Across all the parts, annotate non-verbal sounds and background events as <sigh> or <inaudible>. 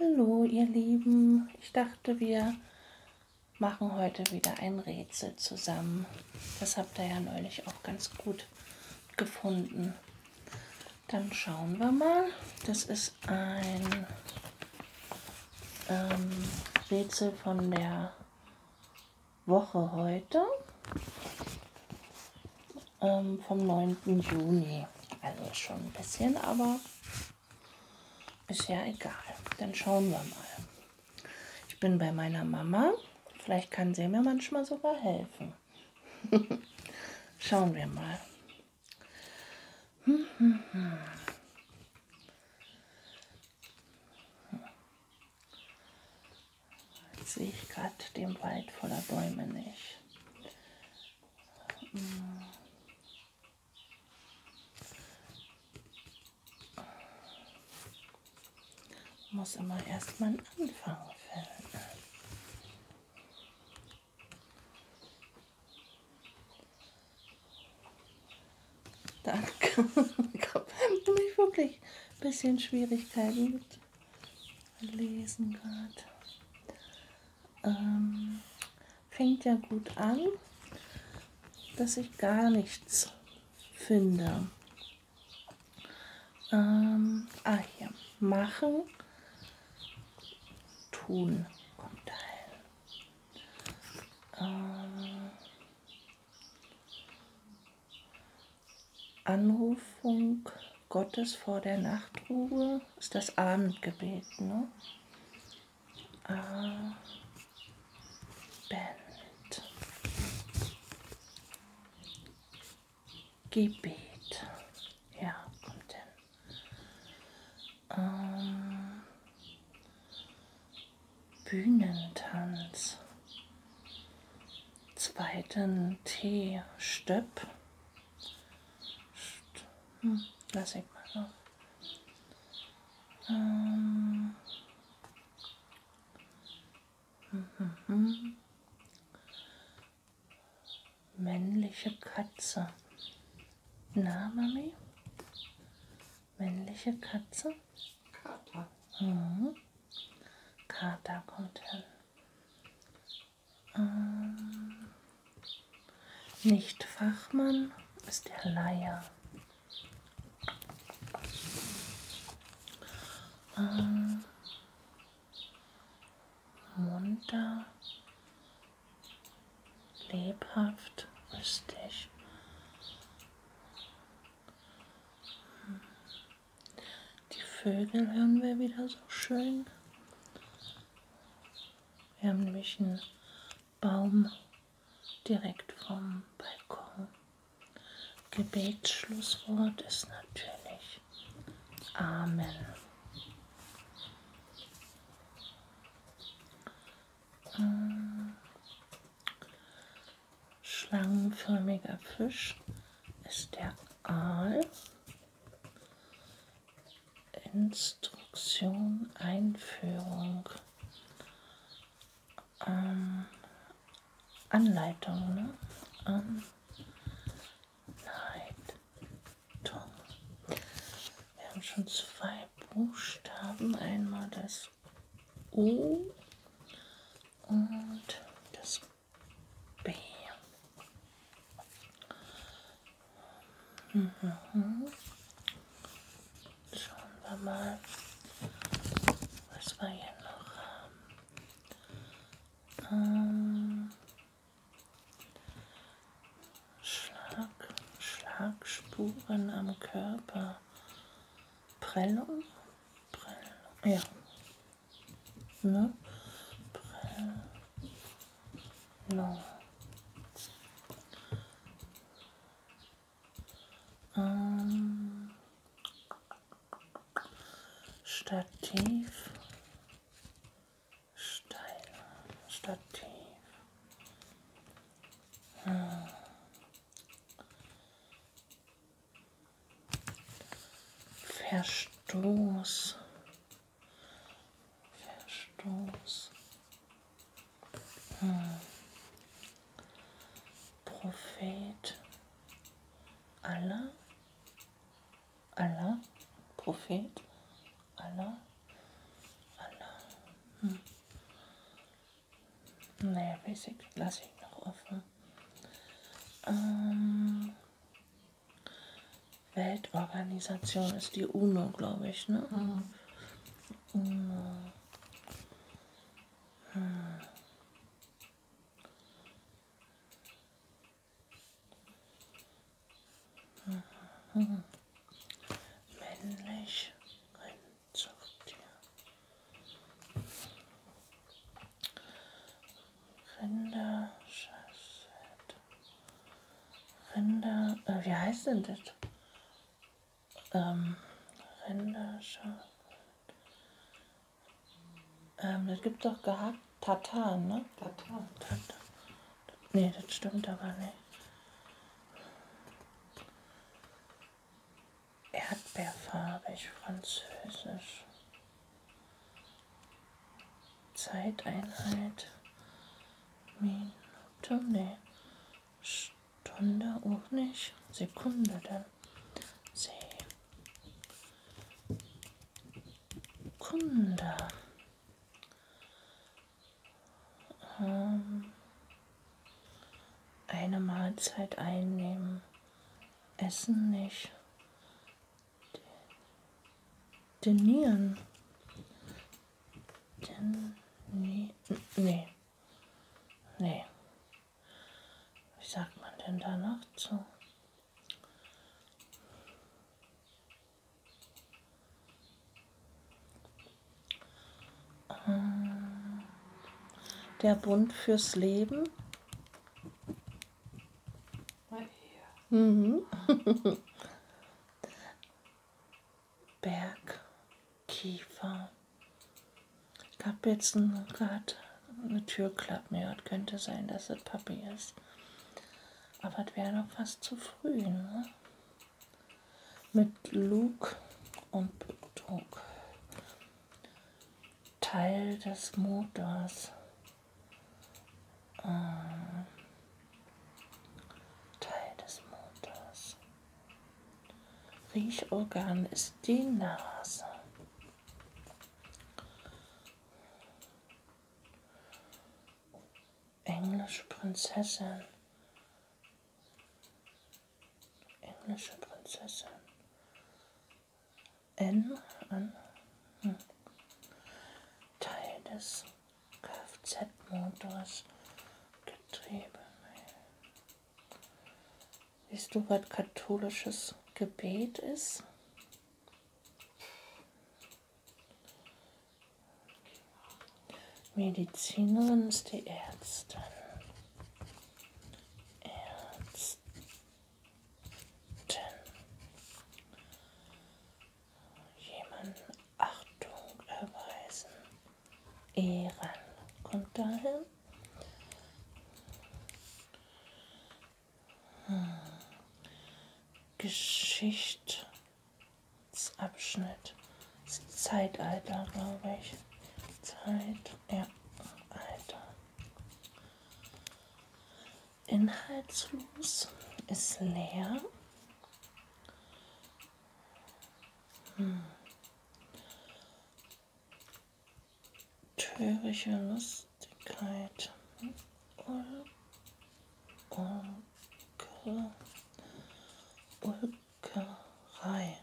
Hallo ihr Lieben, ich dachte wir machen heute wieder ein Rätsel zusammen. Das habt ihr ja neulich auch ganz gut gefunden. Dann schauen wir mal. Das ist ein ähm, Rätsel von der Woche heute ähm, vom 9. Juni. Also schon ein bisschen, aber ist ja egal. Dann schauen wir mal. Ich bin bei meiner Mama. Vielleicht kann sie mir manchmal sogar helfen. <laughs> schauen wir mal. Hm, hm, hm. Jetzt sehe ich gerade den Wald voller Bäume nicht. Hm. Muss immer erst mal einen Anfang finden. Danke. ich habe nämlich wirklich ein bisschen Schwierigkeiten mit Lesen gerade ähm, fängt ja gut an, dass ich gar nichts finde. Ähm, ah, hier. Machen, tun. Kommt da ähm, Anrufung. Gottes vor der Nachtruhe ist das Abendgebet, ne? Ah, Band. Gebet. Ja, kommt hin. Ähm, Bühnentanz. Zweiten T. Stöpp. Hm, lass ich mal auf. Ähm. Hm, hm, Männliche Katze. Na, Mami? Männliche Katze? Kater. Mhm. Kater kommt hin. Ähm, nicht Fachmann ist der Leier. Ähm, munter, lebhaft, lustig. Hm. Die Vögel hören wir wieder so schön. Wir haben nämlich einen Baum direkt vom Balkon. Gebetsschlusswort ist natürlich Amen. Äh, Schlangenförmiger Fisch ist der Aal. Instruktion, Einführung, ähm, Anleitung, ne? Anleitung. Wir haben schon zwei Buchstaben, einmal das U und das Bam. Mhm. Schauen wir mal, was wir hier noch haben. Ähm, Schlag, Schlagspuren am Körper. Prellung? Prellung. Ja, Ne? Genau. No. Ähm. Stativ. Steil. Stativ. Hm. Verstoß. Verstoß. Hm. Prophet. Allah. Allah. Prophet. Allah. Allah. Hm. Naja, Basic lasse ich noch offen. Ähm, Weltorganisation ist die UNO, glaube ich, ne? Mhm. UNO. Hm. Mhm. Männlich Rennzuchttier. Rinder, Schafsherd. Rinder, äh, wie heißt denn das? Ähm, Rinder, Schafsherd. Ähm, das gibt doch gehackt Tatar, ne? Tatar. Tatar. Nee, das stimmt aber nicht. Erdbeerfarbig, französisch. Zeiteinheit, Minute, nee, Stunde auch nicht, Sekunde dann. Sekunde. Ähm, eine Mahlzeit einnehmen, Essen nicht, Denieren. Den, nee, nee. Nee. Wie sagt man denn danach zu? Ähm, der Bund fürs Leben. Right here. Mhm. <laughs> Berg, Kiefer. Ich habe jetzt gerade eine Türklappe gehört. Könnte sein, dass es Papi ist. Aber es wäre doch fast zu früh, ne? Mit Lug und Betrug. Teil des Motors äh, Teil des Mondes. Riechorgan ist die Nase. Englische Prinzessin. Englische Prinzessin. N an hm. Teil des Kfz-Motors Getriebe. Siehst du, was katholisches Gebet ist? Medizinerin ist die Ärztin. Ärztin jemanden Achtung erweisen, ehren. Und dahin hm. Geschichtsabschnitt, das Zeitalter, glaube ich. Zeit, ja, Alter inhaltslos, ist leer. Hm. Törische Lustigkeit. Ul Ulke Ulkerei. Ulkerei.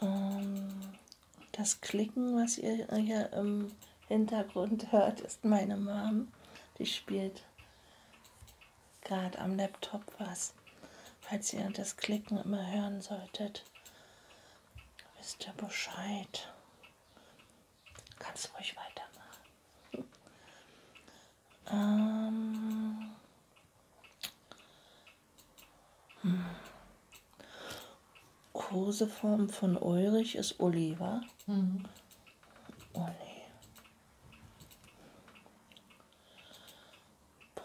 Ähm, das Klicken, was ihr hier im Hintergrund hört, ist meine Mom. Die spielt gerade am Laptop was. Falls ihr das Klicken immer hören solltet, wisst ihr Bescheid. Kannst ruhig weitermachen. Ähm. Hm. Koseform von Ulrich ist Uli, wa? Mhm. Uli. Oh,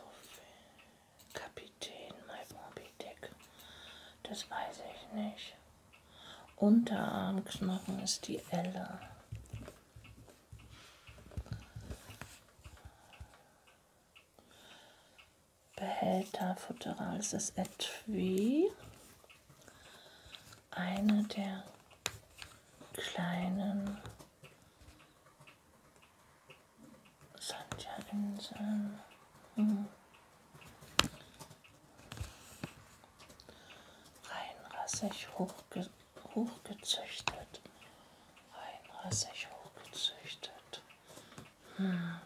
Kapitän, mein Bobby Dick. Das weiß ich nicht. Unterarmknochen ist die Elle. Behälter Futteral. Es ist etwa eine der kleinen Sandja-Inseln. Hm. Reinrassig hochge hochgezüchtet. 31 hochgezüchtet. Hm.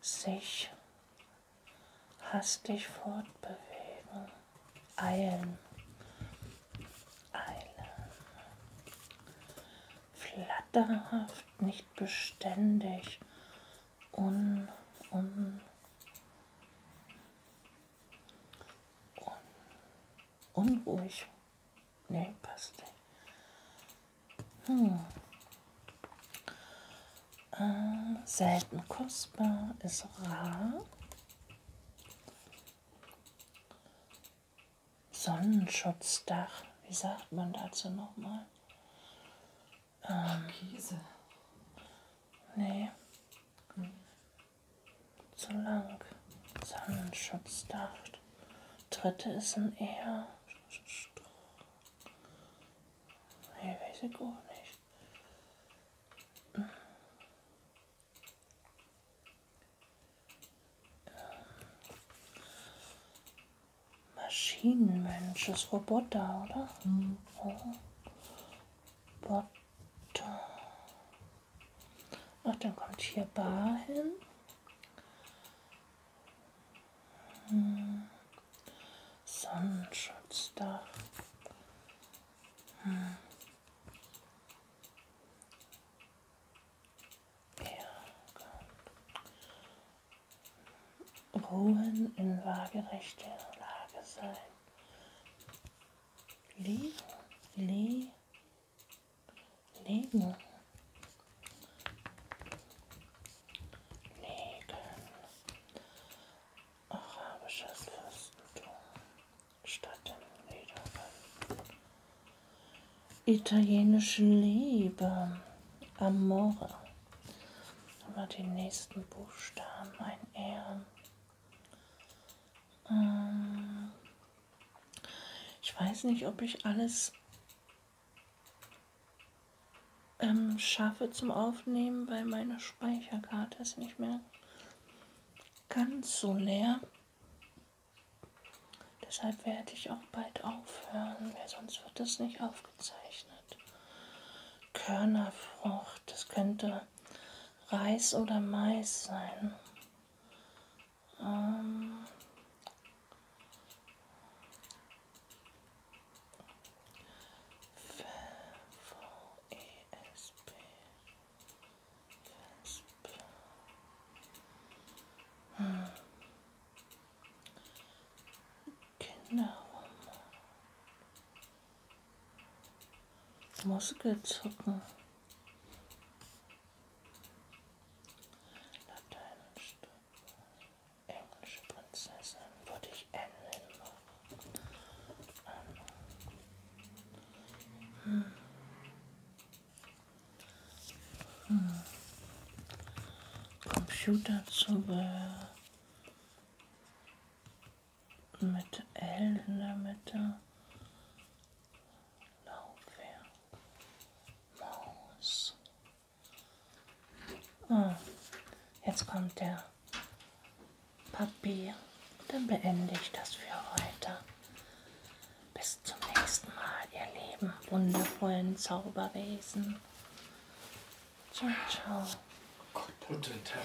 Sich hastig fortbewegen. Eilen. Eilen. Flatterhaft, nicht beständig. Un, un, unruhig. Nee, passt nicht. Hm. Äh, selten kostbar, ist rar. Sonnenschutzdach, wie sagt man dazu nochmal? Ähm, Ach, Käse. Nee. Hm zu lang. Sonnenschutzdacht. Dritte ist ein eher. Nee, weiß ich auch nicht. Maschinenmensch ist Roboter, oder? Mhm. Oh. Bot Ach, dann kommt hier Bar hin. Hm. Sonnenschutzdach. Hm. Ruhen in waagerechter Lage sein. Le, Le, Legen. Legen. Arabisches Fürstentum. Stadt im Niederlanden. Italienische Liebe. Amore. Aber die nächsten Buchstaben ein Ehren. Ähm, ich weiß nicht, ob ich alles ähm, schaffe zum Aufnehmen, weil meine Speicherkarte ist nicht mehr ganz so leer. Deshalb werde ich auch bald aufhören, weil sonst wird das nicht aufgezeichnet. Körnerfrucht, das könnte Reis oder Mais sein. Ähm e e hm. Kinderroman. Maske zocken. Lateinisch. Englische Prinzessin würde ich ändern. Hm. Hm. Computerzubehör mit L in der Mitte. Laufwerk. Maus. Ah, jetzt kommt der Papier. Und dann beende ich das für heute. Bis zum nächsten Mal, ihr lieben, wundervollen Zauberwesen. Ciao, ciao. Guten Tag.